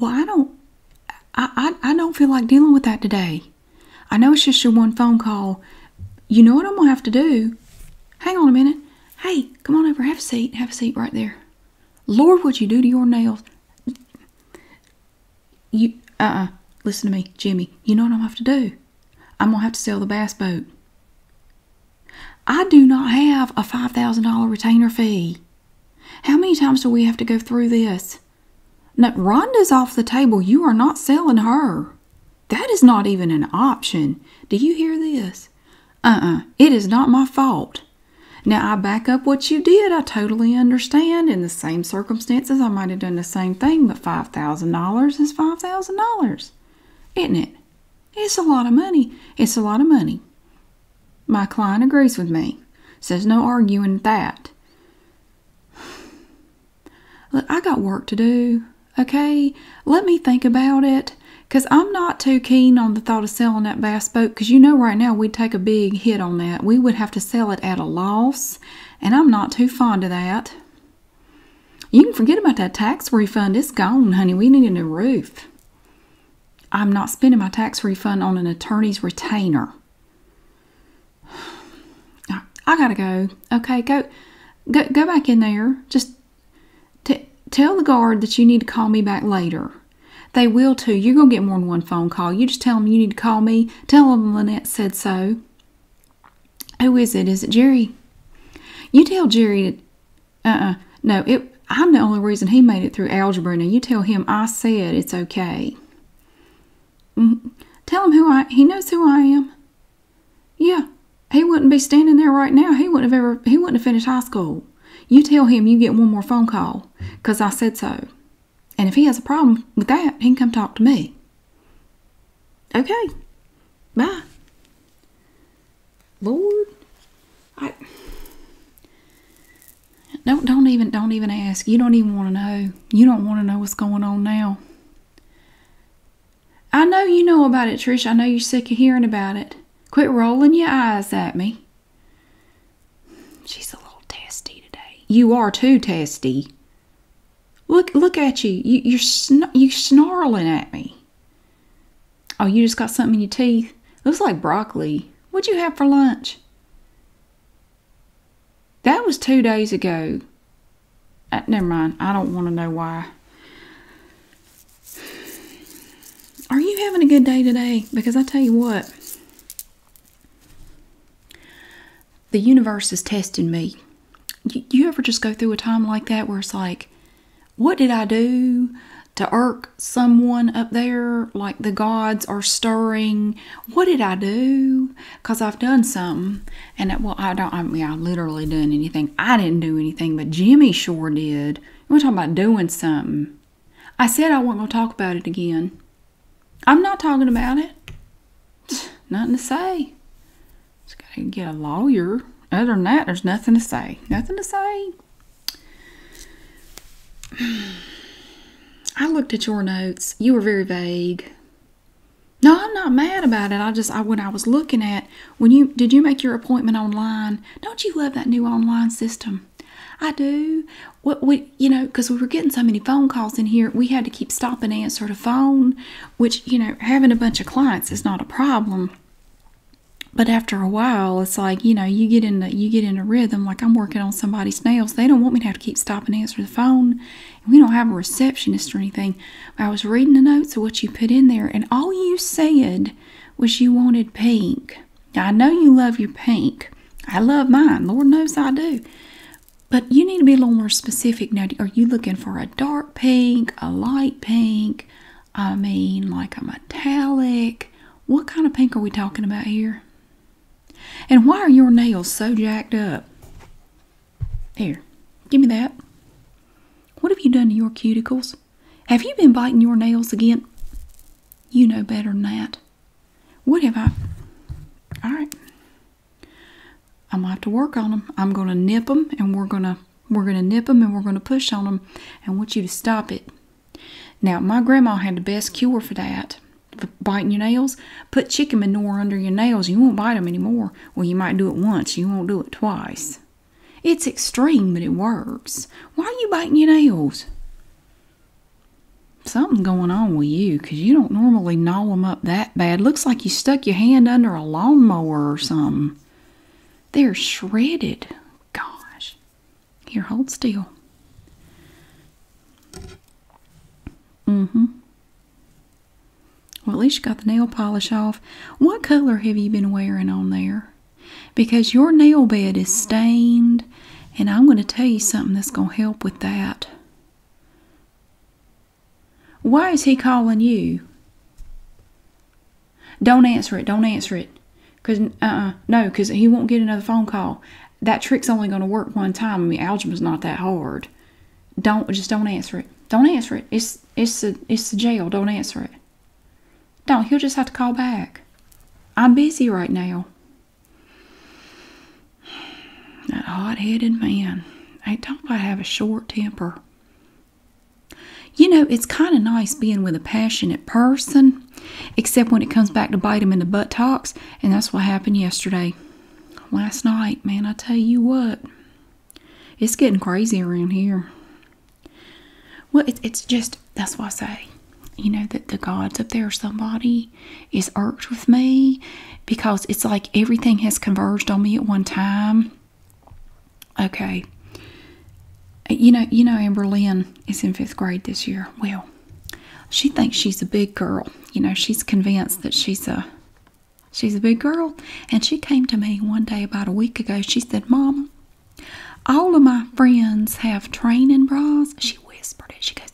Well, I don't. I, I, don't feel like dealing with that today. I know it's just your one phone call. You know what I'm gonna have to do? Hang on a minute. Hey, come on over. Have a seat. Have a seat right there. Lord, what you do to your nails? You uh. Listen to me, Jimmy. You know what I'm gonna have to do? I'm gonna have to sell the bass boat. I do not have a $5,000 retainer fee. How many times do we have to go through this? Now Rhonda's off the table. You are not selling her. That is not even an option. Do you hear this? Uh uh-uh. uh. is not my fault. Now, I back up what you did. I totally understand. In the same circumstances, I might have done the same thing, but $5,000 is $5,000, isn't it? It's a lot of money. It's a lot of money. My client agrees with me. Says no arguing that. Look, I got work to do, okay? Let me think about it. Because I'm not too keen on the thought of selling that bass boat because you know right now we'd take a big hit on that. We would have to sell it at a loss, and I'm not too fond of that. You can forget about that tax refund. It's gone, honey. We need a new roof. I'm not spending my tax refund on an attorney's retainer. I gotta go. Okay, go, go, go back in there. Just tell the guard that you need to call me back later. They will too. You're gonna get more than one phone call. You just tell them you need to call me. Tell them Lynette said so. Who is it? Is it Jerry? You tell Jerry uh-uh. No, I'm the only reason he made it through algebra. Now you tell him I said it's okay. Mm-hmm. tell him who I. He knows who I am. Yeah, he wouldn't be standing there right now. He wouldn't have ever. He wouldn't have finished high school. You tell him you get one more phone call, 'cause I said so. And if he has a problem with that, he can come talk to me. Okay. Bye. Lord, I don't don't even don't even ask. You don't even want to know. You don't want to know what's going on now. I know you know about it, Trish. I know you're sick of hearing about it. Quit rolling your eyes at me. She's a little testy today. You are too testy. Look look at you. you you're sn- you snarling at me. Oh, you just got something in your teeth? Looks like broccoli. What'd you have for lunch? That was two days ago. Uh, never mind. I don't want to know why. Are you having a good day today? Because I tell you what, the universe is testing me. You, you ever just go through a time like that where it's like, what did I do to irk someone up there? Like the gods are stirring. What did I do? I've done something. And, it, uh, well, I don't, I mean, I literally done anything. I didn't do anything, but Jimmy sure did. We're talking about doing something. I said I wasn't going to talk about it again. I'm not talking about it. Nothing to say. Just got to get a lawyer. Other than that, there's nothing to say. Nothing to say. I looked at your notes. You were very vague. No, I'm not mad about it. I just I when I was looking at when you did you make your appointment online? Don't you love that new online system? I do. What we you know because we were getting so many phone calls in here, we had to keep stopping and answering the phone, which you know having a bunch of clients is not a problem but after a while it's like you know you get in a you get in a rhythm like i'm working on somebody's nails they don't want me to have to keep stopping and answer the phone we don't have a receptionist or anything i was reading the notes of what you put in there and all you said was you wanted pink i know you love your pink i love mine lord knows i do but you need to be a little more specific now are you looking for a dark pink a light pink I mean, like a metallic. What kind of pink are we talking about here? And why are your nails so jacked up? Here, give me that. What have you done to your cuticles? Have you been biting your nails again? You know better than that. What have I? All right. I'm going to have to work on them. I'm going to nip them and we're going to we're going to nip them and we're going to push on them. I want you to stop it. Now, my grandma had the best cure for that. For biting your nails, put chicken manure under your nails. You won't bite them anymore. Well, you might do it once. You won't do it twice. It's extreme, but it works. Why are you biting your nails? Something going on with you because you don't normally gnaw them up that bad. Looks like you stuck your hand under a lawnmower or something. They're shredded. Gosh. Here, hold still. Mm-hmm. Well, at least you got the nail polish off. What color have you been wearing on there? Because your nail bed is stained, and I'm going to tell you something that's going to help with that. Why is he calling you? Don't answer it. Don't answer it. Cause uh-uh, no, cause he won't get another phone call. That trick's only going to work one time. I mean, algebra's not that hard. Don't just don't answer it. Don't answer it. It's it's a, it's the jail. Don't answer it. Don't. He'll just have to call back. I'm busy right now. That hot-headed man. Ain't talking I have a short temper. You know, it's kind of nice being with a passionate person, except when it comes back to bite them in the butt. Talks, and that's what happened yesterday. Last night, man, I tell you what, it's getting crazy around here. Well, it's just, that's why I say, you know, that the gods up there, somebody is irked with me because it's like everything has converged on me at one time Okay. You know, you know, Amber Lynn is in fifth grade this year. Well, she thinks she's a big girl. You know, she's convinced that she's a she's a big girl. And she came to me one day about a week ago. She said, "Mom, all of my friends have training bras. She whispered it. She goes,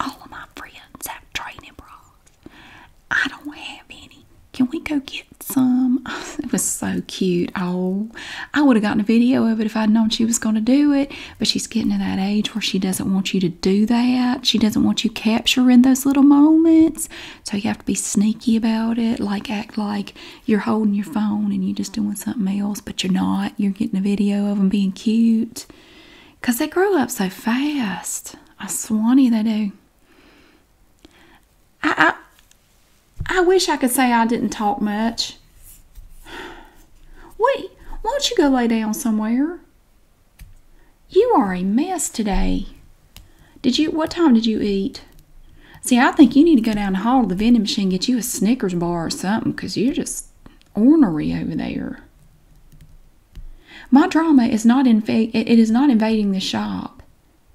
All of my friends have training bras. I don't have any can we go get some? It was so cute. Oh, I would have gotten a video of it if I'd known she was going to do it. But she's getting to that age where she doesn't want you to do that. She doesn't want you capturing those little moments. So you have to be sneaky about it. Like, act like you're holding your phone and you're just doing something else, but you're not. You're getting a video of them being cute. Because they grow up so fast. I swanny they do. I, I, wish I could say I didn't talk much. Wait, will not you go lay down somewhere? You are a mess today. Did you, what time did you eat? See, I think you need to go down the hall to the vending machine and get you a Snickers bar or something, because you're just ornery over there. My drama is not inv- it is not invading the shop.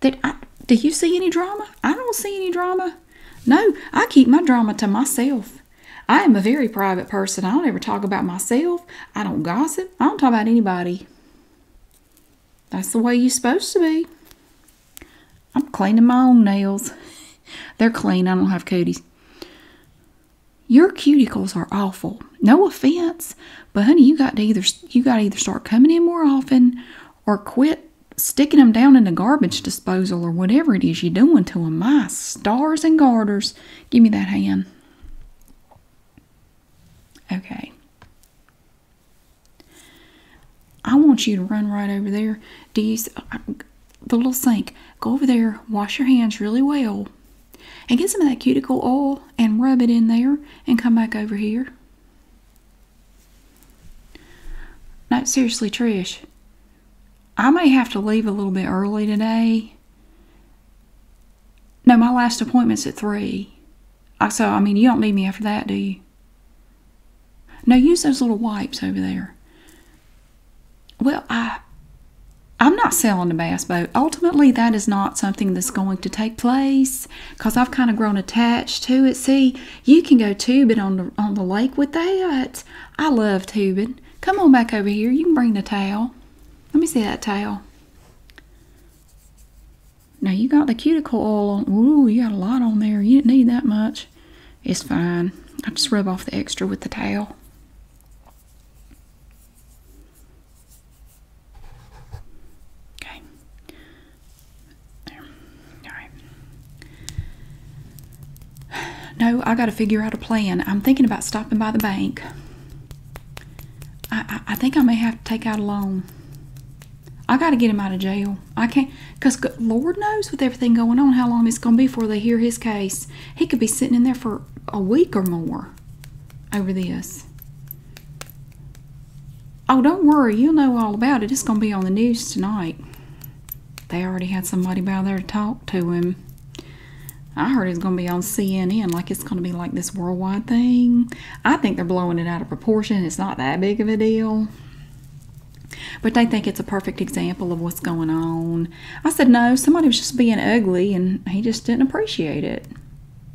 Did I, do you see any drama? I don't see any drama. No, I keep my drama to myself. I am a very private person. I don't ever talk about myself. I don't gossip. I don't talk about anybody. That's the way you're supposed to be. I'm cleaning my own nails. They're clean. I don't have cuties. Your cuticles are awful. No offense, but honey, you got to either you got to either start coming in more often or quit sticking them down in the garbage disposal or whatever it is you're doing to them. My stars and garters. Give me that hand. Okay. I want you to run right over there. Do uh, the little sink, go over there, wash your hands really well, and get some of that cuticle oil and rub it in there and come back over here. Not seriously, Trish, I may have to leave a little bit early today. No, my last appointment's at 3. I, so, I mean, you don't need me after that, do you? No, use those little wipes over there. Well, I, I'm not selling the bass boat. Ultimately, that is not something that's going to take place because I've kind of grown attached to it. See, you can go tubing on the, on the lake with that. I love tubing. Come on back over here. You can bring the towel. Let me see that towel. Now you got the cuticle oil on. Ooh, you got a lot on there. You didn't need that much. It's fine. I just rub off the extra with the towel. Okay. There. All right. No, I got to figure out a plan. I'm thinking about stopping by the bank. I, I, I think I may have to take out a loan. I got to get him out of jail. I can't, because Lord knows with everything going on how long it's going to be before they hear his case. He could be sitting in there for a week or more over this. Oh, don't worry. You'll know all about it. It's going to be on the news tonight. They already had somebody by there to talk to him. I heard it's going to be on CNN, like it's going to be like this worldwide thing. I think they're blowing it out of proportion. It's not that big of a deal. But they think it's a perfect example of what's going on. I said, no, somebody was just being ugly and he just didn't appreciate it.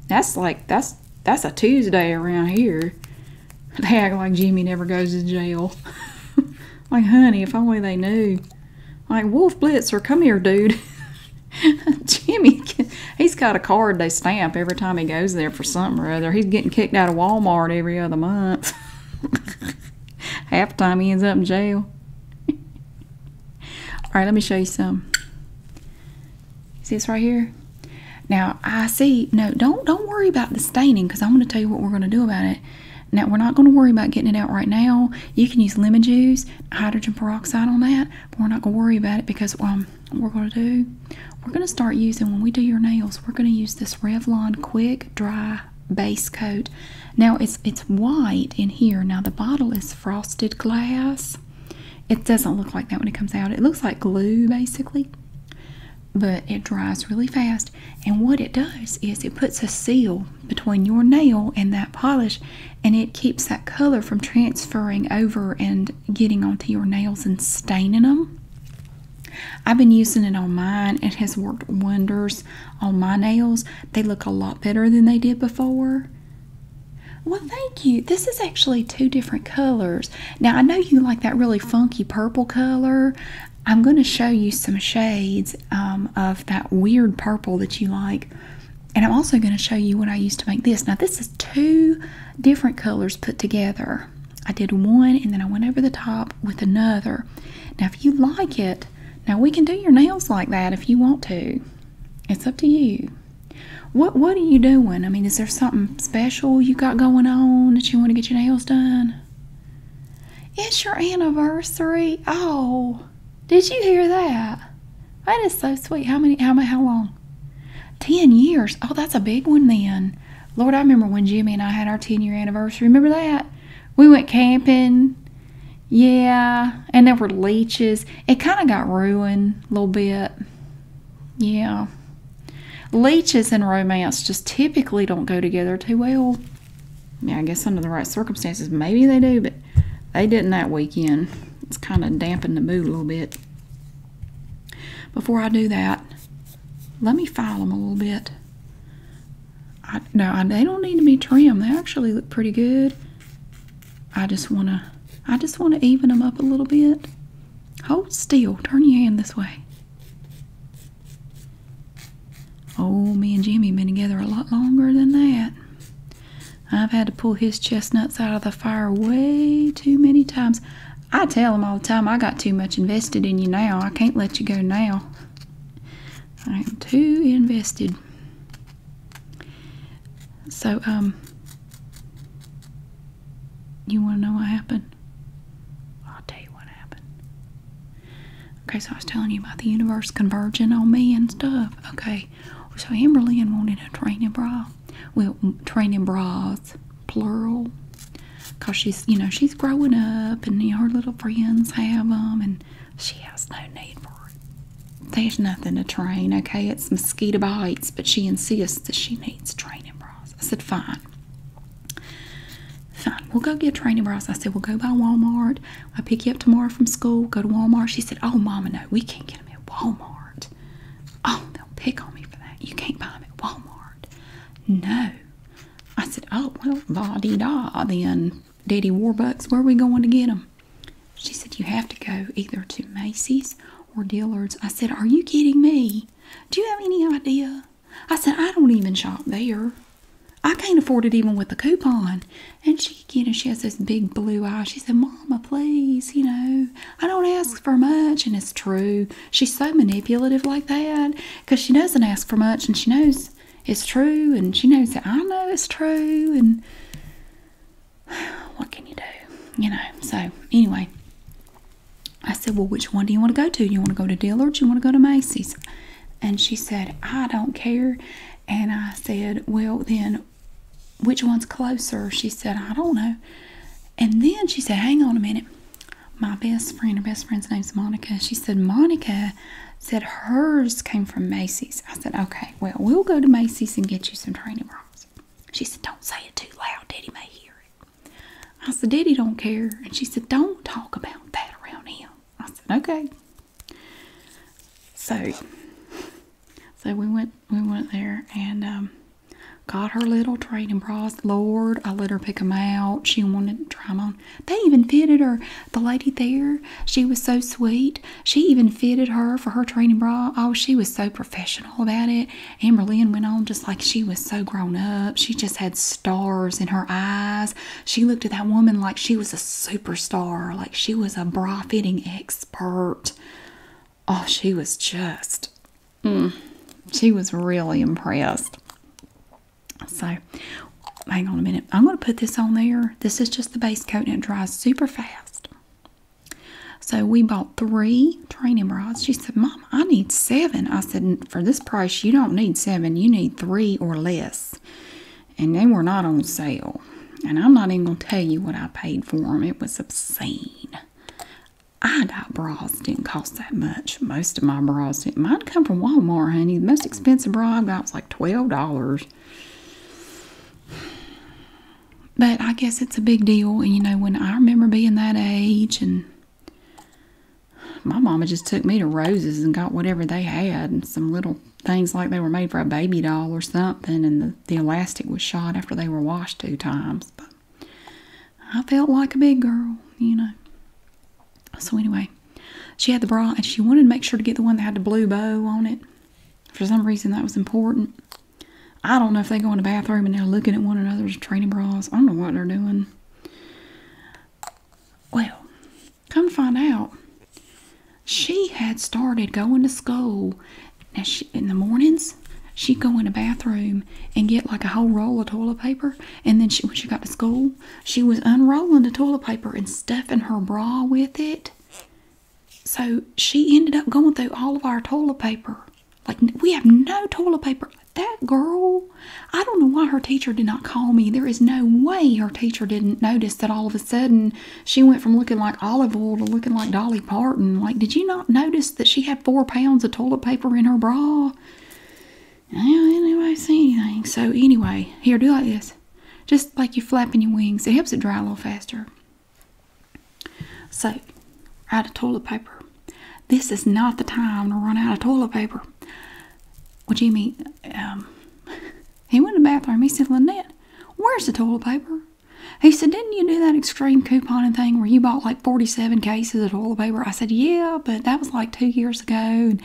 That's like, that's that's a Tuesday around here. They act like Jimmy never goes to jail. like, honey, if only they knew. Like, Wolf Blitzer, come here, dude. Jimmy, he's got a card they stamp every time he goes there for something or other. He's getting kicked out of Walmart every other month. Half the time he ends up in jail. All right, let me show you some. See this right here? Now I see no don't don't worry about the staining because I'm gonna tell you what we're gonna do about it. Now we're not gonna worry about getting it out right now. You can use lemon juice, hydrogen peroxide on that, but we're not gonna worry about it because um we're gonna do we're gonna start using when we do your nails, we're gonna use this Revlon quick dry base coat. Now it's it's white in here. Now the bottle is frosted glass. It doesn't look like that when it comes out. It looks like glue basically, but it dries really fast. And what it does is it puts a seal between your nail and that polish and it keeps that color from transferring over and getting onto your nails and staining them. I've been using it on mine. It has worked wonders on my nails. They look a lot better than they did before. Well, thank you. This is actually two different colors. Now, I know you like that really funky purple color. I'm going to show you some shades um, of that weird purple that you like. And I'm also going to show you what I used to make this. Now, this is two different colors put together. I did one and then I went over the top with another. Now, if you like it, now we can do your nails like that if you want to. It's up to you. What What are you doing? I mean, is there something special you got going on that you want to get your nails done? It's your anniversary. Oh, did you hear that? That is so sweet. How many? How many? How long? Ten years. Oh, that's a big one then. Lord, I remember when Jimmy and I had our ten year anniversary. Remember that? We went camping. Yeah, and there were leeches. It kind of got ruined a little bit. Yeah. Leeches and romance just typically don't go together too well. Yeah, I guess under the right circumstances, maybe they do, but they didn't that weekend. It's kind of dampening the mood a little bit. Before I do that, let me file them a little bit. no, they don't need to be trimmed. They actually look pretty good. I just want to, I just want to even them up a little bit. Hold still. Turn your hand this way. Oh, me and Jimmy been together a lot longer than that. I've had to pull his chestnuts out of the fire way too many times. I tell him all the time, I got too much invested in you now. I can't let you go now. I am too invested. So, um, you want to know what happened? I'll tell you what happened. Okay, so I was telling you about the universe converging on me and stuff. Okay, so Amberlynn wanted a training bra. Well, training bras, plural. Because she's, you know, she's growing up and her little friends have them and she has no need for it. There's nothing to train, okay? It's mosquito bites, but she insists that she needs training bras. I said, fine. Fine, we'll go get training bras. I said, we'll go by Walmart. I pick you up tomorrow from school, go to Walmart. She said, oh, Mama, no, we can't get them at Walmart. Oh, they'll pick on me for that. You can't buy them at Walmart. No. I said, oh, well, la-dee-da, then, Daddy Warbucks, where are we going to get them? She said, you have to go either to Macy's or dealers, I said, Are you kidding me? Do you have any idea? I said, I don't even shop there. I can't afford it even with a coupon. And she, you know, she has this big blue eye. She said, Mama, please, you know, I don't ask for much. And it's true. She's so manipulative like that because she doesn't ask for much and she knows it's true and she knows that I know it's true. And what can you do? You know, so anyway, I said, Well, which one do you want to go to? You want to go to Dillard's? You want to go to Macy's? And she said, I don't care. And I said, Well, then which one's closer? She said, I don't know. And then she said, Hang on a minute. My best friend, her best friend's name's Monica. She said, Monica said hers came from Macy's. I said, Okay, well, we'll go to Macy's and get you some training bras. She said, Don't say it too loud. Daddy may hear it. I said, Daddy don't care. And she said, Don't talk about that around him. I said, Okay. So so we went we went there and um, got her little training bras. Lord, I let her pick them out. She wanted to try them on. They even fitted her. The lady there, she was so sweet. She even fitted her for her training bra. Oh, she was so professional about it. Amber went on just like she was so grown up. She just had stars in her eyes. She looked at that woman like she was a superstar, like she was a bra fitting expert. Oh, she was just, mm, she was really impressed. So, hang on a minute. I'm going to put this on there. This is just the base coat and it dries super fast. So we bought three training bras. She said, Mom, I need seven. I said, For this price, you don't need seven. You need three or less. And they were not on sale. And I'm not even going to tell you what I paid for them. It was obscene. I got bras didn't cost that much. Most of my bras didn't. Mine come from Walmart, honey. The most expensive bra I got was like $12. But I guess it's a big deal. And you know, when I remember being that age, and my mama just took me to Roses and got whatever they had, and some little things like they were made for a baby doll or something, and the, the elastic was shot after they were washed two times. But I felt like a big girl, you know. So, anyway, she had the bra and she wanted to make sure to get the one that had the blue bow on it. For some reason, that was important. I don't know if they go in the bathroom and they're looking at one another's training bras. I don't know what they're doing. Well, come find out, she had started going to school. Now, in the mornings, she'd go in the bathroom and get like a whole roll of toilet paper. And then when she got to school, she was unrolling the toilet paper and stuffing her bra with it. So she ended up going through all of our toilet paper. Like, we have no toilet paper. That girl, I don't know why her teacher did not call me. There is no way her teacher didn't notice that all of a sudden she went from looking like olive oil to looking like Dolly Parton. Like, did you not notice that she had four pounds of toilet paper in her bra? I don't anybody see anything. So, anyway, here, do like this. Just like you flapping your wings. It helps it dry a little faster. So, out of toilet paper. This is not the time to run out of toilet paper. Well, you mean? Um, he went to the bathroom. He said, Lynette, where's the toilet paper? He said, Didn't you do that extreme couponing thing where you bought like 47 cases of toilet paper? I said, Yeah, but that was like two years ago. And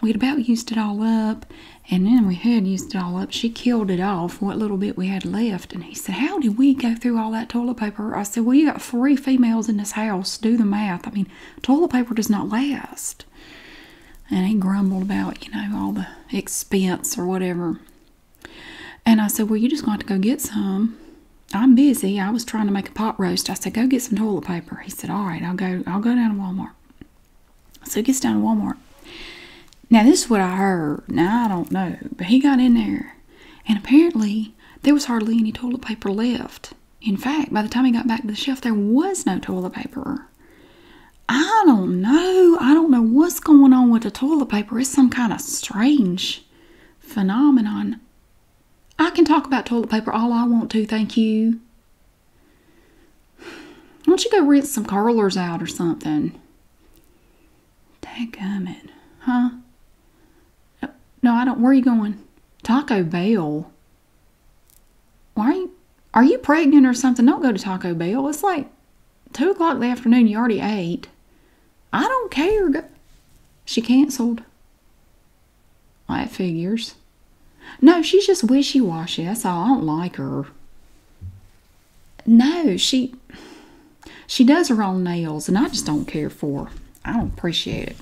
we'd about used it all up. And then we had used it all up. She killed it off, what little bit we had left and he said, How did we go through all that toilet paper? I said, Well, you got three females in this house. Do the math. I mean, toilet paper does not last. And he grumbled about, you know, all the expense or whatever. And I said, Well, you just going to go get some. I'm busy. I was trying to make a pot roast. I said, Go get some toilet paper. He said, All right, I'll go, I'll go down to Walmart. So he gets down to Walmart now, this is what I heard. Now, I don't know, but he got in there, and apparently, there was hardly any toilet paper left. In fact, by the time he got back to the shelf, there was no toilet paper. I don't know. I don't know what's going on with the toilet paper. It's some kind of strange phenomenon. I can talk about toilet paper all I want to, thank you. Why don't you go rinse some curlers out or something? Dadgummit. Huh? No, I don't. Where you going? Taco Bell. Why are you, are you pregnant or something? Don't go to Taco Bell. It's like 2 o'clock in the afternoon. You already ate. I don't care. She canceled. I figures. No, she's just wishy-washy. That's all. I don't like her no, she she does her own nails, and I just don't care for. I don't appreciate it.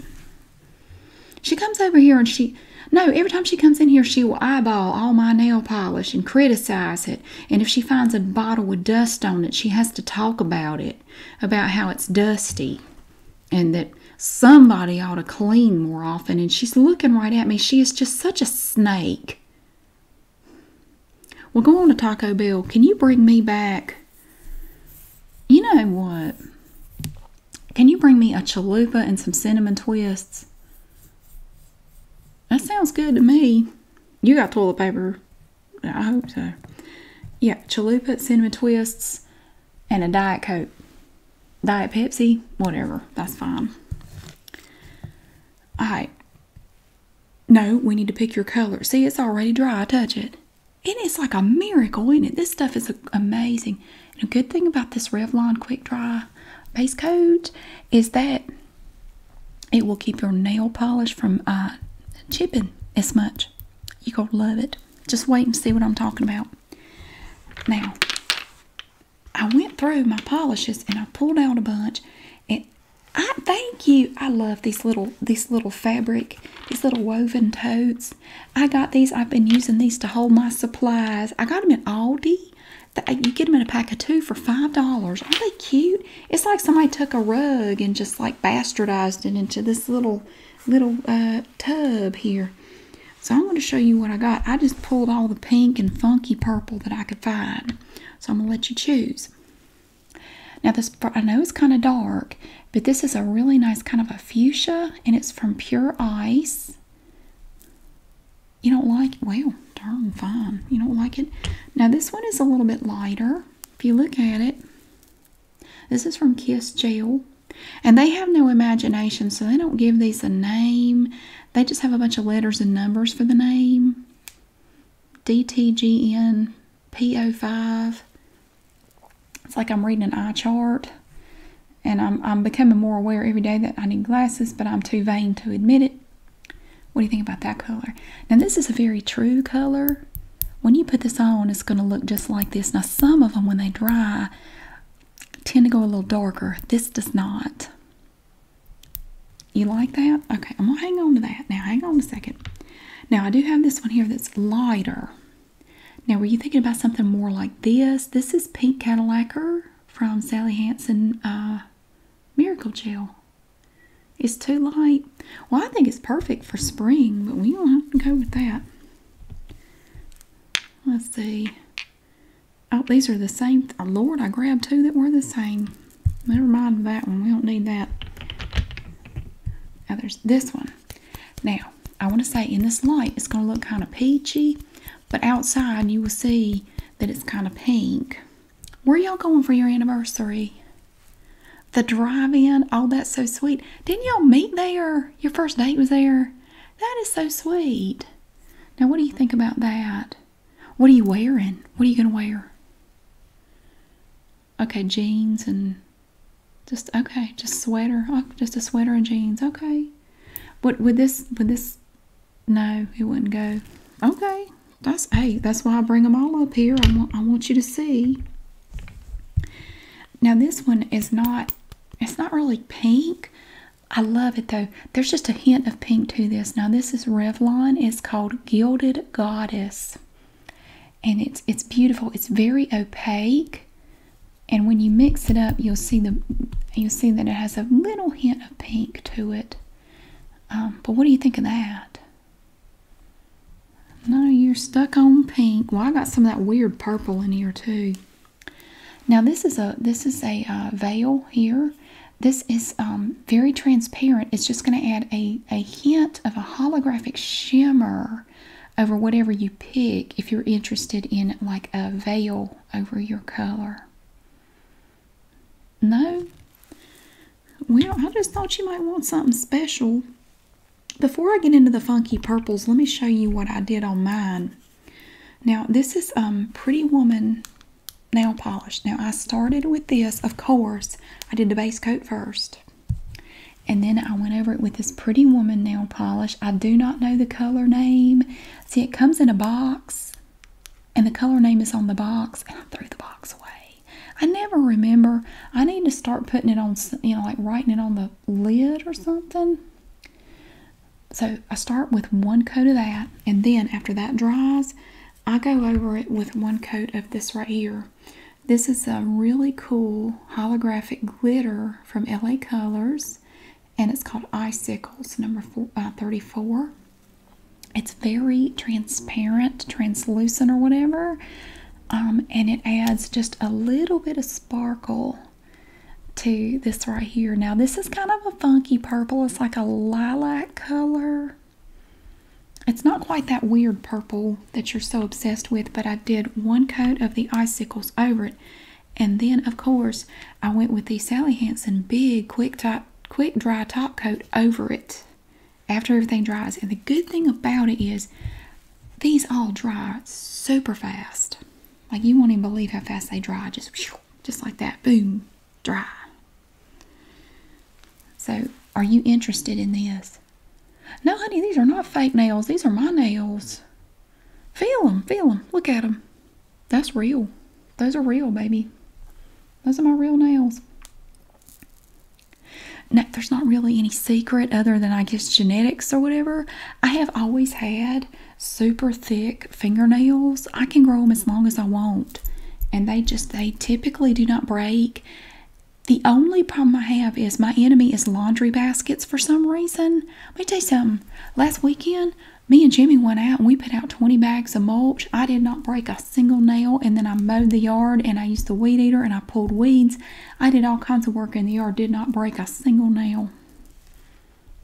She comes over here and she no, every time she comes in here, she will eyeball all my nail polish and criticize it. And if she finds a bottle with dust on it, she has to talk about it, about how it's dusty and that somebody ought to clean more often. And she's looking right at me. She is just such a snake. Well, go on to Taco Bell. Can you bring me back? You know what? Can you bring me a chalupa and some cinnamon twists? That sounds good to me. You got toilet paper. I hope so. Yeah, chalupa, cinnamon twists, and a Diet Coke. Diet Pepsi, whatever. That's fine. All right. No, we need to pick your color. See, it's already dry. Touch it. And it's like a miracle, in it? This stuff is amazing. And a good thing about this Revlon Quick Dry base coat is that it will keep your nail polish from uh, chipping as much. You're going to love it. Just wait and see what I'm talking about. Now, I went through my polishes and I pulled out a bunch. And I thank you. I love these little this little fabric, these little woven totes. I got these. I've been using these to hold my supplies. I got them at Aldi. Uh, you get them in a pack of two for five dollars. are they cute? It's like somebody took a rug and just like bastardized it into this little little uh, tub here. So I'm going to show you what I got. I just pulled all the pink and funky purple that I could find. So I'm going to let you choose. Now this, I know it's kind of dark, but this is a really nice kind of a fuchsia, and it's from Pure Ice. You don't like it? Well, darn fine. You don't like it? Now this one is a little bit lighter. If you look at it, this is from Kiss Gel. And they have no imagination, so they don't give these a name. They just have a bunch of letters and numbers for the name. DTGN, PO5. It's like I'm reading an eye chart and I'm, I'm becoming more aware every day that I need glasses, but I'm too vain to admit it. What do you think about that color? Now, this is a very true color. When you put this on, it's going to look just like this. Now, some of them, when they dry, tend to go a little darker. This does not. You like that? Okay, I'm gonna hang on to that. Now, hang on a second. Now, I do have this one here that's lighter. Now, were you thinking about something more like this? This is Pink Cadillacer from Sally Hansen uh, Miracle Gel. It's too light. Well, I think it's perfect for spring, but we don't have to go with that. Let's see. Oh, these are the same. Lord, I grabbed two that were the same. Never mind that one. We don't need that. Now there's this one. Now, I want to say in this light, it's going to look kind of peachy, but outside you will see that it's kind of pink. Where y'all going for your anniversary? The drive-in? Oh, that's so sweet. Didn't y'all meet there? Your first date was there? That is so sweet. Now, what do you think about that? What are you wearing? What are you going to wear? Okay, jeans and just okay, just sweater. Oh, just a sweater and jeans. Okay. But would this would this no, it wouldn't go. Okay. That's hey, that's why I bring them all up here. I want I want you to see. Now this one is not it's not really pink. I love it though. There's just a hint of pink to this. Now this is Revlon. It's called Gilded Goddess. And it's it's beautiful. It's very opaque. And when you mix it up, you'll see the you'll see that it has a little hint of pink to it. Um, but what do you think of that? No, you're stuck on pink. Well, I got some of that weird purple in here too. Now this is a this is a uh, veil here, this is um, very transparent. It's just going to add a, a hint of a holographic shimmer over whatever you pick if you're interested in like a veil over your color. No? Well, I just thought you might want something special. Before I get into the funky purples, let me show you what I did on mine. Now, this is um, Pretty Woman nail polish. Now I started with this, of course. I did the base coat first. And then I went over it with this Pretty Woman nail polish. I do not know the color name. See, it comes in a box. And the color name is on the box. And I threw the box away. I never remember. I need to start putting it on, you know, like writing it on the lid or something. So I start with one coat of that. And then after that dries, I go over it with one coat of this right here. This is a really cool holographic glitter from LA Colors and it's called Icicles number uh, 34. It's very transparent, translucent or whatever um, and it adds just a little bit of sparkle to this right here. Now this is kind of a funky purple. It's like a lilac color it's not quite that weird purple that you're so obsessed with, but I did one coat of the icicles over it. And then, of course, I went with the Sally Hansen big quick, top, quick dry top coat over it after everything dries. And the good thing about it is these all dry super fast. Like you won't even believe how fast they dry. Just, just like that. Boom. Dry. So, are you interested in this? No, honey, these are not fake nails. These are my nails. Feel them, feel them. Look at them. That's real. Those are real, baby. Those are my real nails. Now, there's not really any secret other than I guess genetics or whatever. I have always had super thick fingernails. I can grow them as long as I want and they just they typically do not break the only problem i have is my enemy is laundry baskets for some reason let me tell you something last weekend me and jimmy went out and we put out 20 bags of mulch i did not break a single nail and then i mowed the yard and i used the weed eater and i pulled weeds i did all kinds of work in the yard did not break a single nail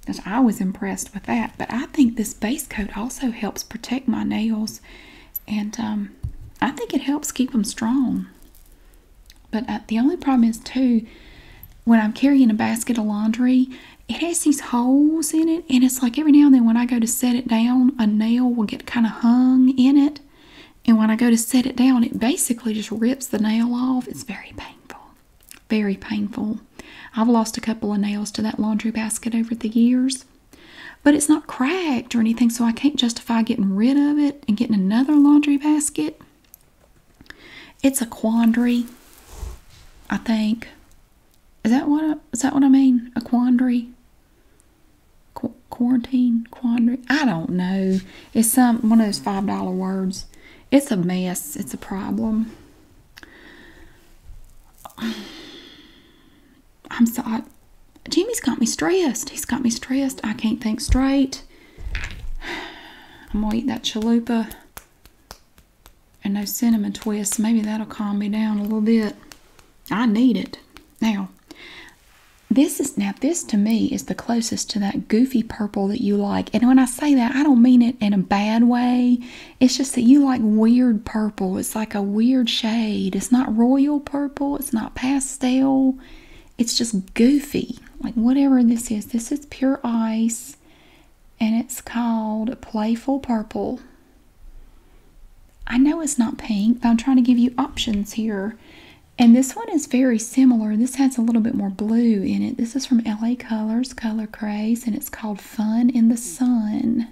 because I was impressed with that. But I think this base coat also helps protect my nails and um, I think it helps keep them strong. But uh, the only problem is too when I'm carrying a basket of laundry, it has these holes in it, and it's like every now and then when I go to set it down, a nail will get kind of hung in it. And when I go to set it down, it basically just rips the nail off. It's very painful. Very painful. I've lost a couple of nails to that laundry basket over the years. But it's not cracked or anything, so I can't justify getting rid of it and getting another laundry basket. It's a quandary, I think. Is that what I, that what I mean? A quandary? quarantine? Quandary? I don't know. It's some one of those five dollar words. It's a mess. It's a problem. I'm so Jimmy's got me stressed. He's got me stressed. I can't think straight. I'm gonna eat that chalupa and those cinnamon twists. Maybe that'll calm me down a little bit. I need it. Now, this is now this to me is the closest to that goofy purple that you like. And when I say that, I don't mean it in a bad way. It's just that you like weird purple. It's like a weird shade. It's not royal purple. It's not pastel. It's just goofy. Like whatever this is. This is pure ice. And it's called Playful Purple. I know it's not pink, but I'm trying to give you options here. And this one is very similar. This has a little bit more blue in it. This is from LA Colors Color Craze, and it's called Fun in the Sun.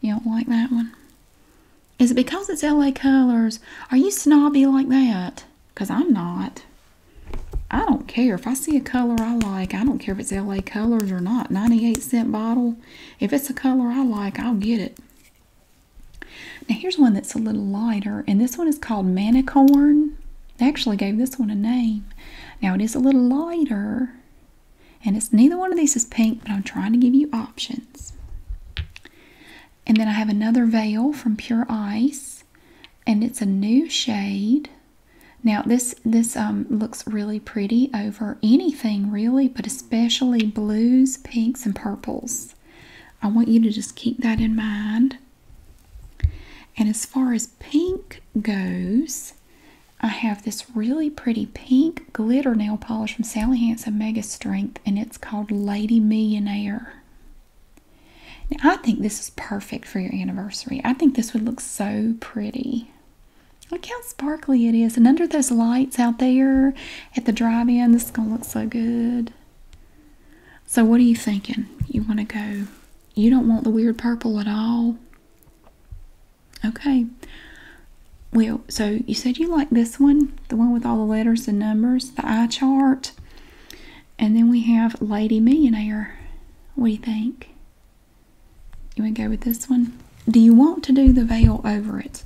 You don't like that one? Is it because it's LA Colors? Are you snobby like that? Because I'm not. I don't care. If I see a color I like, I don't care if it's LA Colors or not. 98 cent bottle. If it's a color I like, I'll get it. Now here's one that's a little lighter. And this one is called Manicorn. They actually gave this one a name. Now it is a little lighter. And it's neither one of these is pink, but I'm trying to give you options. And then I have another veil from Pure Ice, and it's a new shade. Now this this um, looks really pretty over anything really, but especially blues, pinks, and purples. I want you to just keep that in mind. And as far as pink goes, I have this really pretty pink glitter nail polish from Sally Hansen Mega Strength, and it's called Lady Millionaire. Now, I think this is perfect for your anniversary. I think this would look so pretty. Look how sparkly it is. And under those lights out there at the drive-in, this is going to look so good. So what are you thinking? You want to go, you don't want the weird purple at all? Okay. Well, so you said you like this one, the one with all the letters and numbers, the eye chart. And then we have Lady Millionaire. What do you think? You want to go with this one? Do you want to do the veil over it?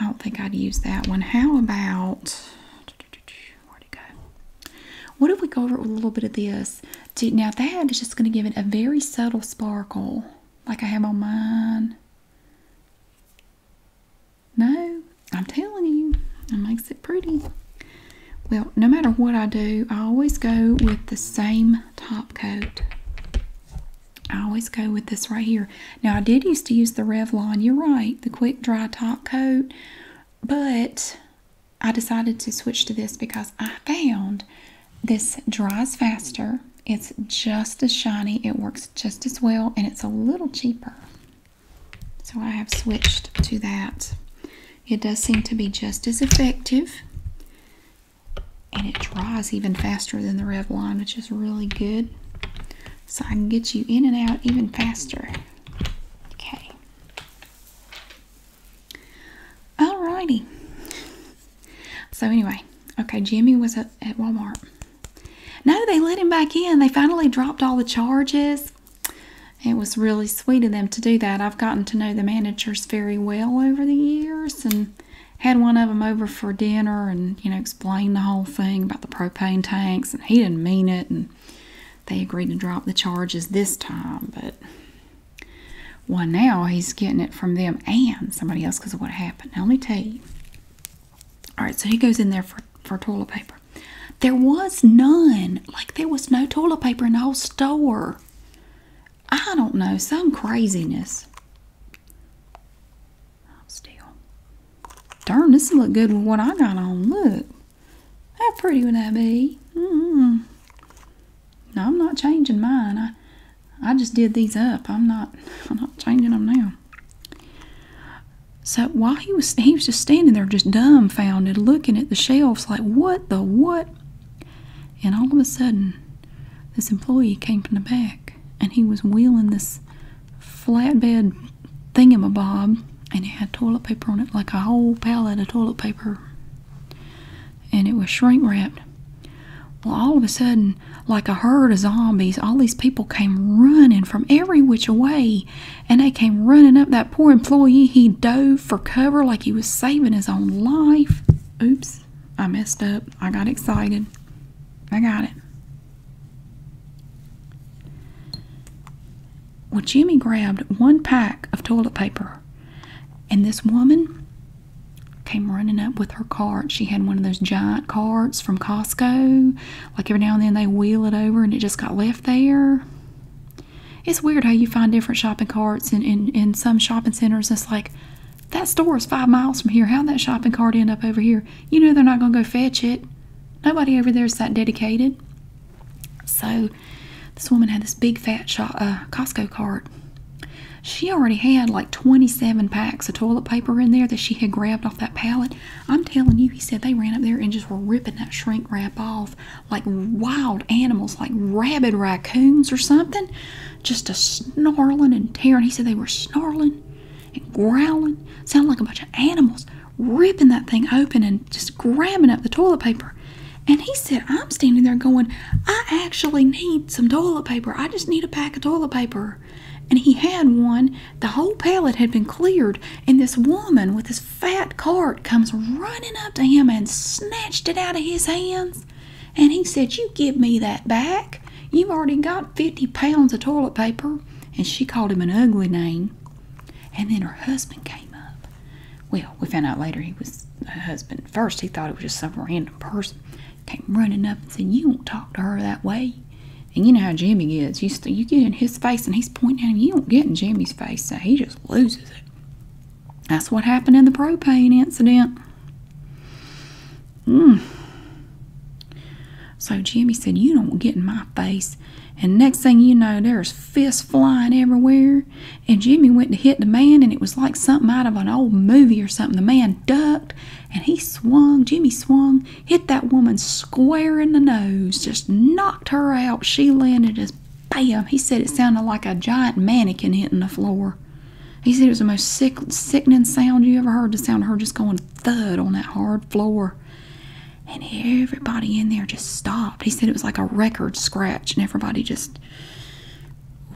I don't think I'd use that one. How about, where'd it go? What if we go over it with a little bit of this? now that is just going to give it a very subtle sparkle like I have on mine. No, I'm telling you, it makes it pretty. Well, no matter what I do, I always go with the same top coat. I always go with this right here. Now, I did used to use the Revlon, you're right, the quick dry top coat, but I decided to switch to this because I found this dries faster. It's just as shiny. It works just as well, and it's a little cheaper. So I have switched to that. It does seem to be just as effective. And it dries even faster than the Revlon, which is really good. So I can get you in and out even faster. Okay. Alrighty. So anyway, okay, Jimmy was at, Walmart. No, they let him back in. They finally dropped all the charges. It was really sweet of them to do that. I've gotten to know the managers very well over the years and had one of them over for dinner and, you know, explained the whole thing about the propane tanks and he didn't mean it and they agreed to drop the charges this time, but well, now he's getting it from them and somebody else because of what happened. Now, let me tell you. All right, so he goes in there for, for toilet paper. There was none. Like, there was no toilet paper in the whole store. I don't know, some craziness. I'll oh, Still. Darn, this will look good with what I got on. Look. How pretty would that be? -hmm. Now I'm not changing mine. I I just did these up. I'm not I'm not changing them now. So while he was he was just standing there just dumbfounded looking at the shelves like what the what? And all of a sudden this employee came from the back and he was wheeling this flatbed thingamabob and it had toilet paper on it like a whole pallet of toilet paper and it was shrink wrapped. Well, all of a sudden, like a herd of zombies, all these people came running from every which way, and they came running up that poor employee. He dove for cover like he was saving his own life. Oops, I messed up. I got excited. I got it. Well, Jimmy grabbed one pack of toilet paper, and this woman came running up with her cart. She had one of those giant carts from Costco. Like every now and then they wheel it over and it just got left there. It's weird how you find different shopping carts in, in, in some shopping centers. It's like, that store is five miles from here. How'd that shopping cart end up over here? You know they're not going to go fetch it. Nobody over there is that dedicated. So this woman had this big fat shop, uh, Costco cart. She already had like 27 packs of toilet paper in there that she had grabbed off that pallet. I'm telling you, he said they ran up there and just were ripping that shrink wrap off like wild animals, like rabid raccoons or something. Just a snarling and tearing. He said they were snarling and growling. Sounded like a bunch of animals ripping that thing open and just grabbing up the toilet paper. And he said, I'm standing there going, I actually need some toilet paper. I just need a pack of toilet paper. And he had one. The whole pallet had been cleared. And this woman with this fat cart comes running up to him and snatched it out of his hands. And he said, You give me that back. You've already got 50 pounds of toilet paper. And she called him an ugly name. And then her husband came up. Well, we found out later he was her husband. First, he thought it was just some random person. Came running up and said, You won't talk to her that way. And you know how Jimmy is. You, you get in his face and he's pointing at him. You don't get in Jimmy's face. So he just loses it. That's what happened in the propane incident. Mm. So Jimmy said, You don't get in my face. And next thing you know, there's fists flying everywhere and Jimmy went to hit the man and it was like something out of an old movie or something. The man ducked and he swung, Jimmy swung, hit that woman square in the nose, just knocked her out. She landed as bam. He said it sounded like a giant mannequin hitting the floor. He said it was the most sick, sickening sound you ever heard. The sound of her just going thud on that hard floor. And everybody in there just stopped. He said it was like a record scratch, and everybody just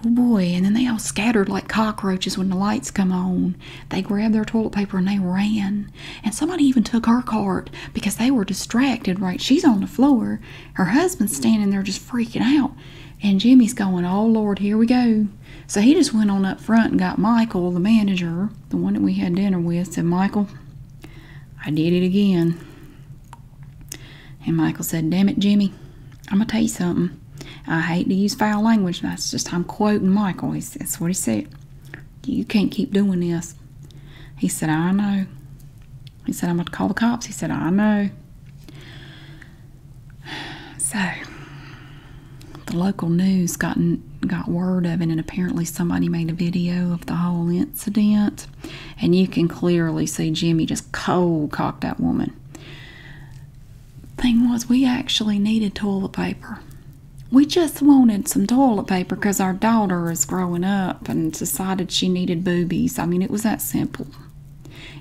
Oh boy, and then they all scattered like cockroaches when the lights come on. They grabbed their toilet paper and they ran. And somebody even took her cart because they were distracted, right? She's on the floor. Her husband's standing there just freaking out. And Jimmy's going, Oh Lord, here we go. So he just went on up front and got Michael, the manager, the one that we had dinner with, said, Michael, I did it again. And Michael said, Damn it, Jimmy, I'm going to tell you something. I hate to use foul language. but That's just, I'm quoting Michael. that's what he said. You can't keep doing this. He said, I know. He said, I'm going to call the cops. He said, I know. So, the local news got, got word of it, and apparently somebody made a video of the whole incident. And you can clearly see Jimmy just cold cocked that woman. Thing was, we actually needed toilet paper. We just wanted some toilet paper because our daughter is growing up and decided she needed boobies. I mean, it was that simple.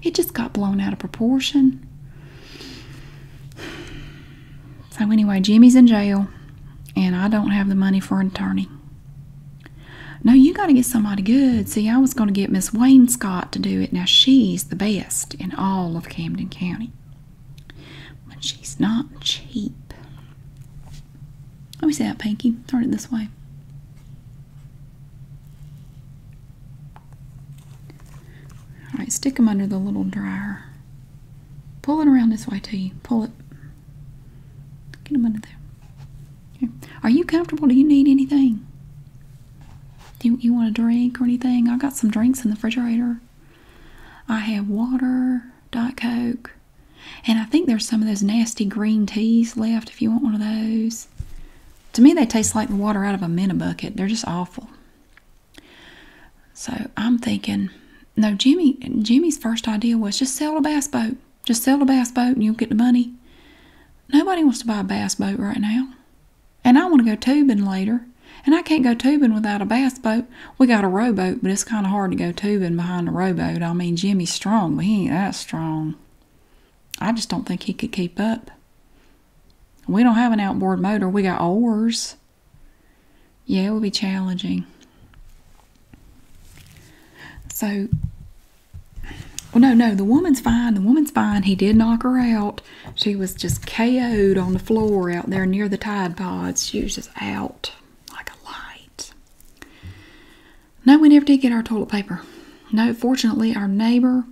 It just got blown out of proportion. So, anyway, Jimmy's in jail, and I don't have the money for an attorney. No, you got to get somebody good. See, I was going to get Miss Wayne Scott to do it. Now, she's the best in all of Camden County. But she's not cheap. Let me see that, Pinky. Turn it this way. All right, stick them under the little dryer. Pull it around this way to you. Pull it. Get them under there. Are you comfortable? Do you need anything? Do you, want a drink or anything? I got some drinks in the refrigerator. I have water, Diet Coke, and I think there's some of those nasty green teas left if you want one of those. To me, they taste like the water out of a minnow bucket. They're just awful. So I'm thinking, no, Jimmy. Jimmy's first idea was to sell the bass boat. Just sell the bass boat and you'll get the money. Nobody wants to buy a bass boat right now. And I want to go tubing later. And I can't go tubing without a bass boat. We got a rowboat, but it's kind of hard to go tubing behind a rowboat. I mean, Jimmy's strong, but he ain't that strong. I just don't think he could keep up. We don't have an outboard motor. We got oars. Yeah, it would be challenging. So well, no, no, the woman's fine. The woman's fine. He did knock her out. She was just KO'd on the floor out there near the Tide Pods. She was just out like a light. No, we never did get our toilet paper. No, fortunately, our neighbor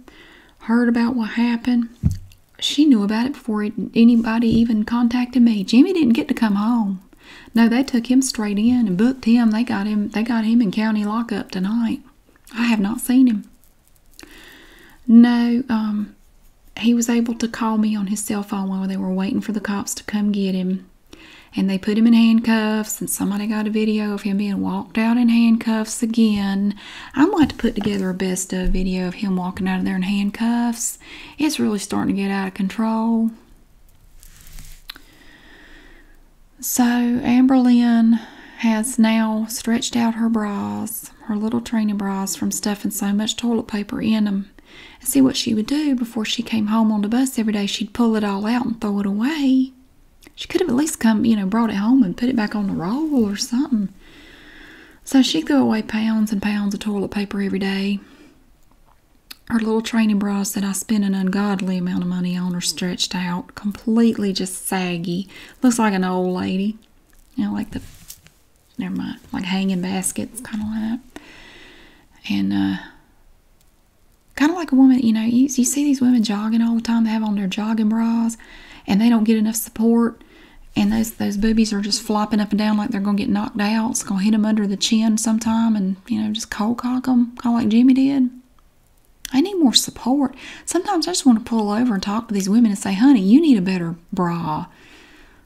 heard about what happened. She knew about it before anybody even contacted me. Jimmy didn't get to come home. No, they took him straight in and booked him. They got him. They got him in county lockup tonight. I have not seen him. No, um, he was able to call me on his cell phone while they were waiting for the cops to come get him. And they put him in handcuffs, and somebody got a video of him being walked out in handcuffs again. I'm going to put together a best of video of him walking out of there in handcuffs. It's really starting to get out of control. So Amberlynn has now stretched out her bras, her little training bras, from stuffing so much toilet paper in 'em. them. see what she would do before she came home on the bus every day. She'd pull it all out and throw it away. She could have at least come, you know, brought it home and put it back on the roll or something. So she threw away pounds and pounds of toilet paper every day her little training bras that I spent an ungodly amount of money on are stretched out, completely just saggy. Looks like an old lady. You know, like the, never mind, like hanging baskets, kind of like that. And, uh, kind of like a woman, you know, you, see these women jogging all the time. They have on their jogging bras and they don't get enough support. And those, those boobies are just flopping up and down like they're going to get knocked out. It's going to hit them under the chin sometime and, you know, just cold cock them, kind of like Jimmy did. I need more support. Sometimes I just want to pull over and talk to these women and say, honey, you need a better bra.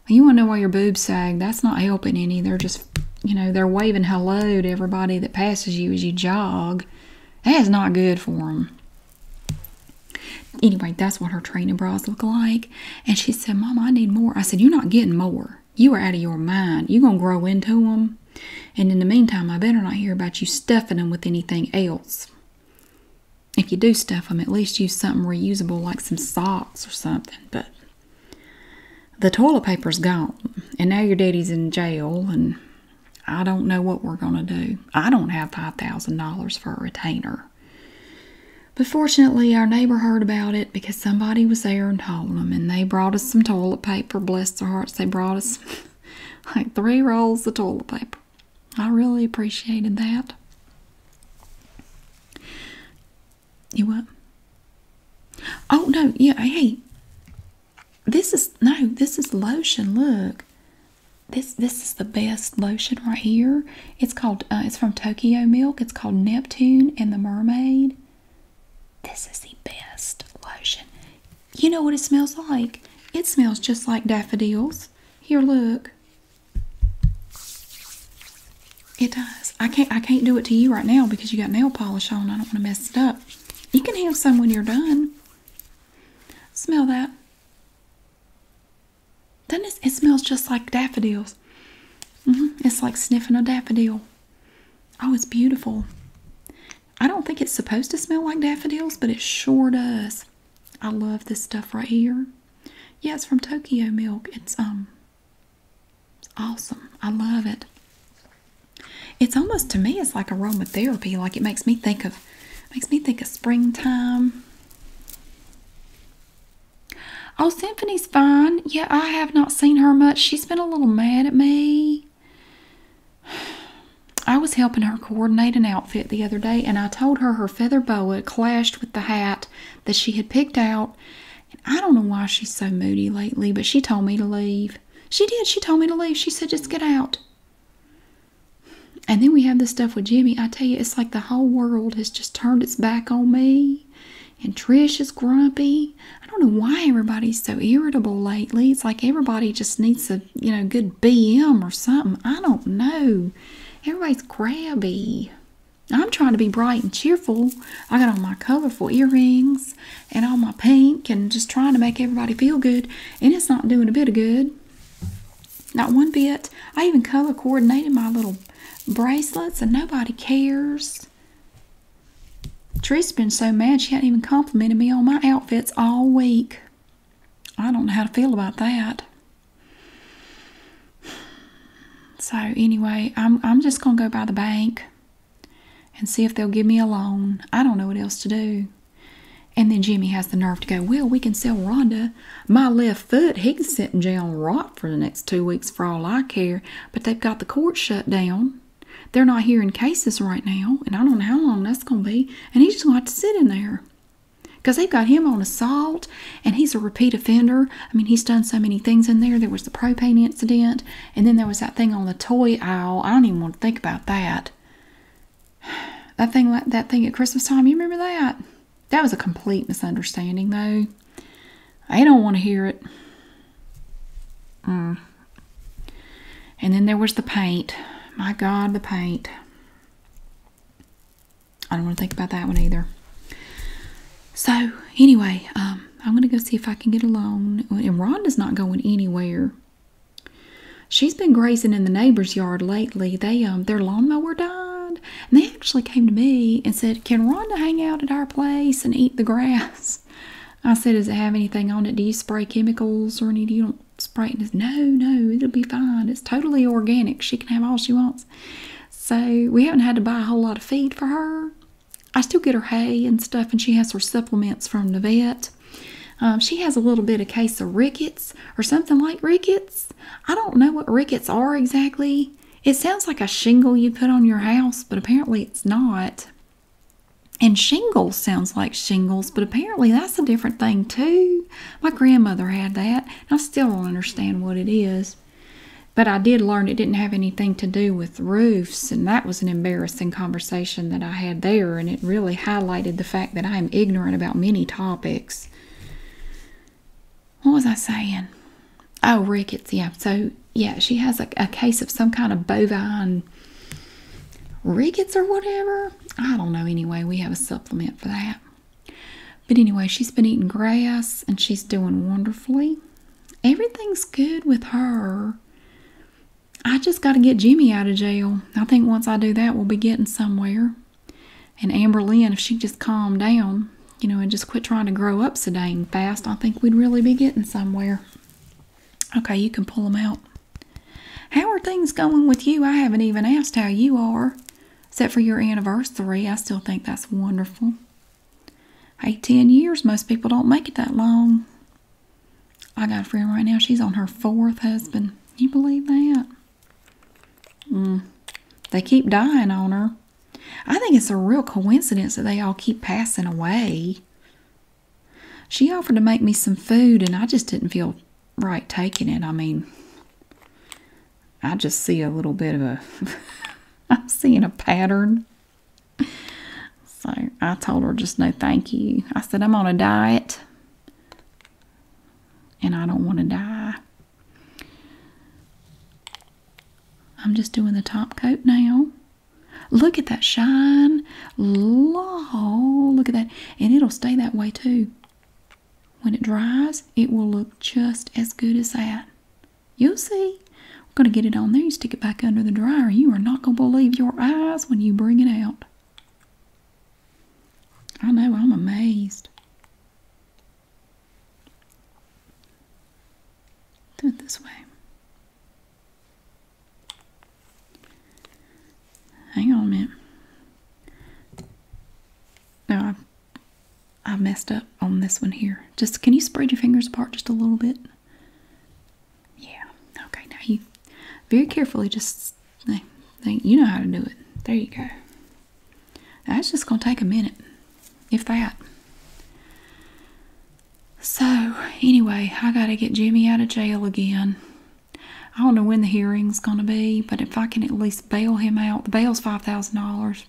You want to know why your boobs sag. That's not helping any. They're just, you know, they're waving hello to everybody that passes you as you jog. That is not good for them. Anyway, that's what her training bras look like. And she said, Mom, I need more. I said, You're not getting more. You are out of your mind. you going to grow into them. And in the meantime, I better not hear about you stuffing them with anything else. If you do stuff them, at least use something reusable like some socks or something. But the toilet paper's gone. And now your daddy's in jail. And I don't know what we're going to do. I don't have $5,000 for a retainer. But fortunately, our neighbor heard about it because somebody was there and told them, and they brought us some toilet paper. Bless their hearts, they brought us like three rolls of toilet paper. I really appreciated that. You what? Oh no, yeah, hey. This is no, this is lotion. Look. This this is the best lotion right here. It's called uh, it's from Tokyo Milk. It's called Neptune and the Mermaid. This is the best lotion. You know what it smells like? It smells just like daffodils. Here, look. It does. I can't I can't do it to you right now because you got nail polish on. I don't want to mess it up. You can have some when you're done. Smell that. Doesn't it, it smells just like daffodils. Mm-hmm. It's like sniffing a daffodil. Oh, it's beautiful. I don't think it's supposed to smell like daffodils, but it sure does. I love this stuff right here. Yeah, it's from Tokyo Milk. It's um awesome. I love it. It's almost to me it's like aromatherapy. Like it makes me think of makes me think of springtime. Oh, Symphony's fine. Yeah, I have not seen her much. She's been a little mad at me. I was helping her coordinate an outfit the other day, and I told her her feather boa clashed with the hat that she had picked out. And I don't know why she's so moody lately, but she told me to leave. She did. She told me to leave. She said, just get out. And then we have this stuff with Jimmy. I tell you, it's like the whole world has just turned its back on me and Trish is grumpy. I don't know why everybody's so irritable lately. It's like everybody just needs a you know good BM or something. I don't know. Everybody's crabby. I'm trying to be bright and cheerful. I got on my colorful earrings and all my pink and just trying to make everybody feel good, and it's not doing a bit of good. Not one bit. I even color coordinated my little bracelets, and nobody cares. Tree's been so mad she hadn't even complimented me on my outfits all week. I don't know how to feel about that. So anyway, I'm just gonna go by the bank and see if they'll give me a loan. I don't know what else to do. And then Jimmy has the nerve to go, Well, we can sell Rhonda my left foot. He can sit in jail and rot for the next two weeks for all I care. But they've got the court shut down. They're not hearing cases right now, and I don't know how long that's going to be. And he's just going to have to sit in there, they've got him on assault, and he's a repeat offender. I mean, he's done so many things in there. There was the propane incident, and then there was that thing on the toy aisle. I don't even want to think about that. That thing, like that thing at Christmas time. You remember that? That was a complete misunderstanding, though. I don't want to hear it. Mm. And then there was the paint. My God, the paint. I don't want to think about that one either. So, anyway, um, I'm going to go see if I can get a loan. And Rhonda's not going anywhere. She's been grazing in the neighbor's yard lately. They um, Their lawnmower died. And they actually came to me and said, Can Rhonda hang out at our place and eat the grass? I said, does it have anything on it? Do you spray chemicals or any? You don't spray it. Said, no, no, it'll be fine. It's totally organic. She can have all she wants. So we haven't had to buy a whole lot of feed for her. I still get her hay and stuff, and she has her supplements from the vet. Um, she has a little bit of case of rickets or something like rickets. I don't know what rickets are exactly. It sounds like a shingle you put on your house, but apparently it's not. And shingles sounds like shingles, but apparently that's a different thing too. My grandmother had that. and I still don't understand what it is. But I did learn it didn't have anything to do with roofs, and that was an embarrassing conversation that I had there, and it really highlighted the fact that I am ignorant about many topics. What was I saying? Oh, rickets, yeah. So, yeah, she has a, a case of some kind of bovine rickets or whatever. I don't know. Anyway, we have a supplement for that. But anyway, she's been eating grass and she's doing wonderfully. Everything's good with her. I just got to get Jimmy out of jail. I think once I do that, we'll be getting somewhere. And Amber Lynn, if she just calmed down, you know, and just quit trying to grow up so dang fast, I think we'd really be getting somewhere. Okay, you can pull them out. How are things going with you? I haven't even asked how you are, except for your anniversary. I still think that's wonderful. Hey, 10 years, most people don't make it that long. I got a friend right now, she's on her fourth husband. You believe that? Mm. They keep dying on her. I think it's a real coincidence that they all keep passing away. She offered to make me some food, and I just didn't feel right taking it. I mean, I just see a little bit of a. I'm seeing a pattern. So I told her just no thank you. I said, I'm on a diet and I don't want to die. I'm just doing the top coat now. Look at that shine. Law. Look at that. And it'll stay that way too. When it dries, it will look just as good as that. You'll see. We're going to get it on there. You stick it back under the dryer. You are not going to believe your eyes when you bring it out. I know. I'm amazed. Do it this way. Hang on a minute. Now I, I messed up on this one here. Just can you spread your fingers apart just a little bit? Yeah. Okay. Now you very carefully just think you know how to do it. There you go. that's just gonna take a minute, if that. So, anyway, I gotta get Jimmy out of jail again. I don't know when the hearing's gonna be, but if I can at least bail him out, the bail's $5,000,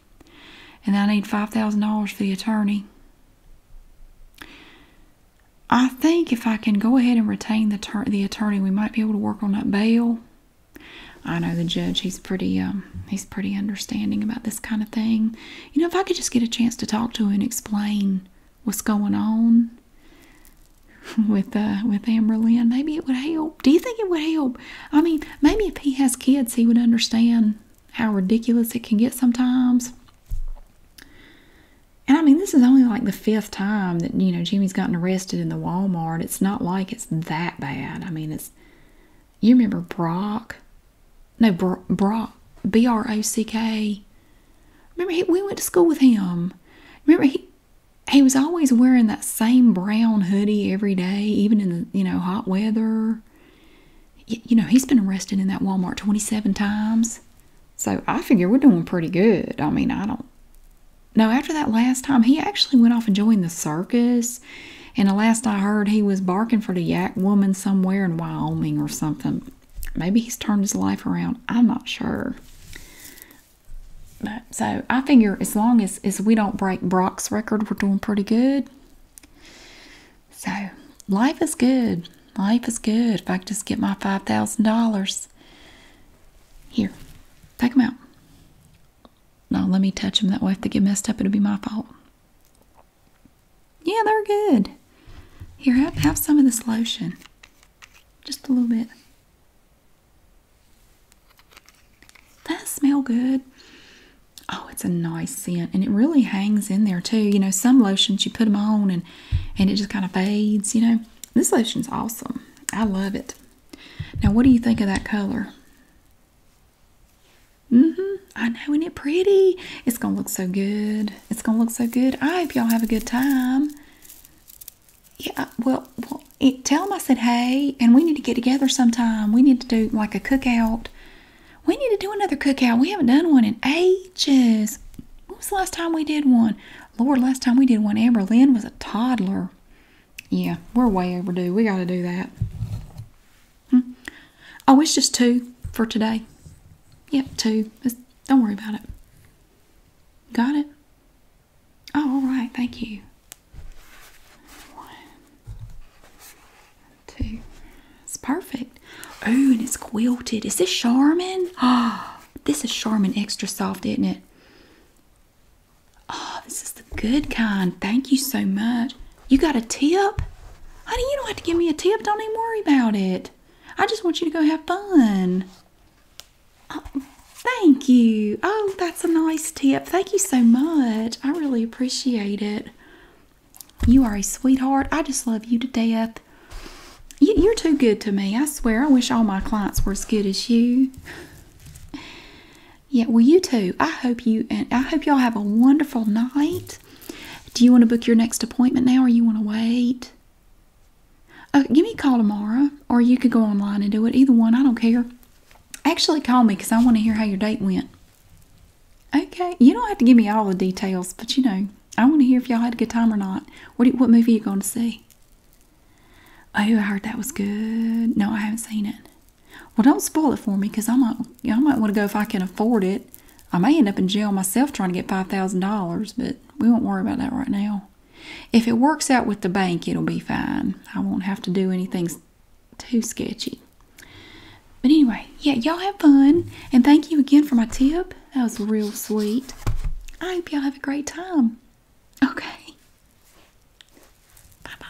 and I need $5,000 for the attorney. I think if I can go ahead and retain the, attorney, we might be able to work on that bail. I know the judge; he's pretty um, he's pretty understanding about this kind of thing you know, if I could just get a chance to talk to her and explain what's going on with uh, with Lynn, maybe it would help. Do you think it would help? I mean, maybe if he has kids, he would understand how ridiculous it can get sometimes. And I mean, this is only like the fifth time that you know Jimmy's gotten arrested in the Walmart. It's not like it's that bad. I mean, it's you remember Brock? No, Brock. B R O C K. Remember, he, we went to school with him. Remember, he he was always wearing that same brown hoodie every day, even in the you know hot weather. you know, he's been arrested in that Walmart twenty-seven times. So I figure we're doing pretty good. I mean, I don't. No, after that last time, he actually went off and joined the circus. And the last I heard, he was barking for the yak woman somewhere in Wyoming or something. Maybe he's turned his life around. I'm not sure. But, so I figure as long as, as we don't break Brock's record, we're doing pretty good. So life is good. Life is good. If I could just get my $5,000. Here, take him out. Now let me touch him. That way if they get messed up, it'll be my fault. Yeah, they're good. Here, have, have some of this lotion. Just a little bit. That smell good. Oh, it's a nice scent. And it really hangs in there too. You know, some lotions you put them on and, and it just kind of fades, you know. This lotion's awesome. I love it. Now, what do you think of that color? hmm I know, and it pretty. It's gonna look so good. It's gonna look so good. I hope y'all have a good time. Yeah, well, well it, tell them I said hey, and we need to get together sometime. We need to do like a cookout. We need to do another cookout. We haven't done one in ages. When was the last time we did one? Lord, last time we did one, Amber Lynn was a toddler. Yeah, we're way overdue. We got to do that. Hmm? I wish just two for today. Yep, two. don't worry about it. Got it? Oh, all right. Thank you. One, two. It's perfect. Oh, and it's quilted. Is this Charmin? Ah, this is Charmin Extra Soft, isn't it? Oh, this is the good kind. Thank you so much. You got a tip? Honey, you don't have to give me a tip. Don't even worry about it. I just want you to go have fun. Oh, thank you. Oh, that's a nice tip. Thank you so much. I really appreciate it. You are a sweetheart. I just love you to death. You're too good to me. I swear, I wish all my clients were as good as you. Yeah, well, you too. I hope you and I hope y'all have a wonderful night. Do you want to book your next appointment now or you want to wait? Uh, give me a call tomorrow or you could go online and do it. Either one, I don't care. Actually, call me because I want to hear how your date went. Okay, you don't have to give me all the details, but you know, I want to hear if y'all had a good time or not. What, movie you going to see? Oh, I heard that was good. No, I haven't seen it. Well, don't spoil it for me because I might, I might want to go if I can afford it. I may end up in jail myself trying to get $5,000, but we won't worry about that right now. If it works out with the bank, it'll be fine. I won't have to do anything too sketchy. But anyway, yeah, y'all have fun. And thank you again for my tip. That was real sweet. I hope y'all have a great time. Okay. Bye bye.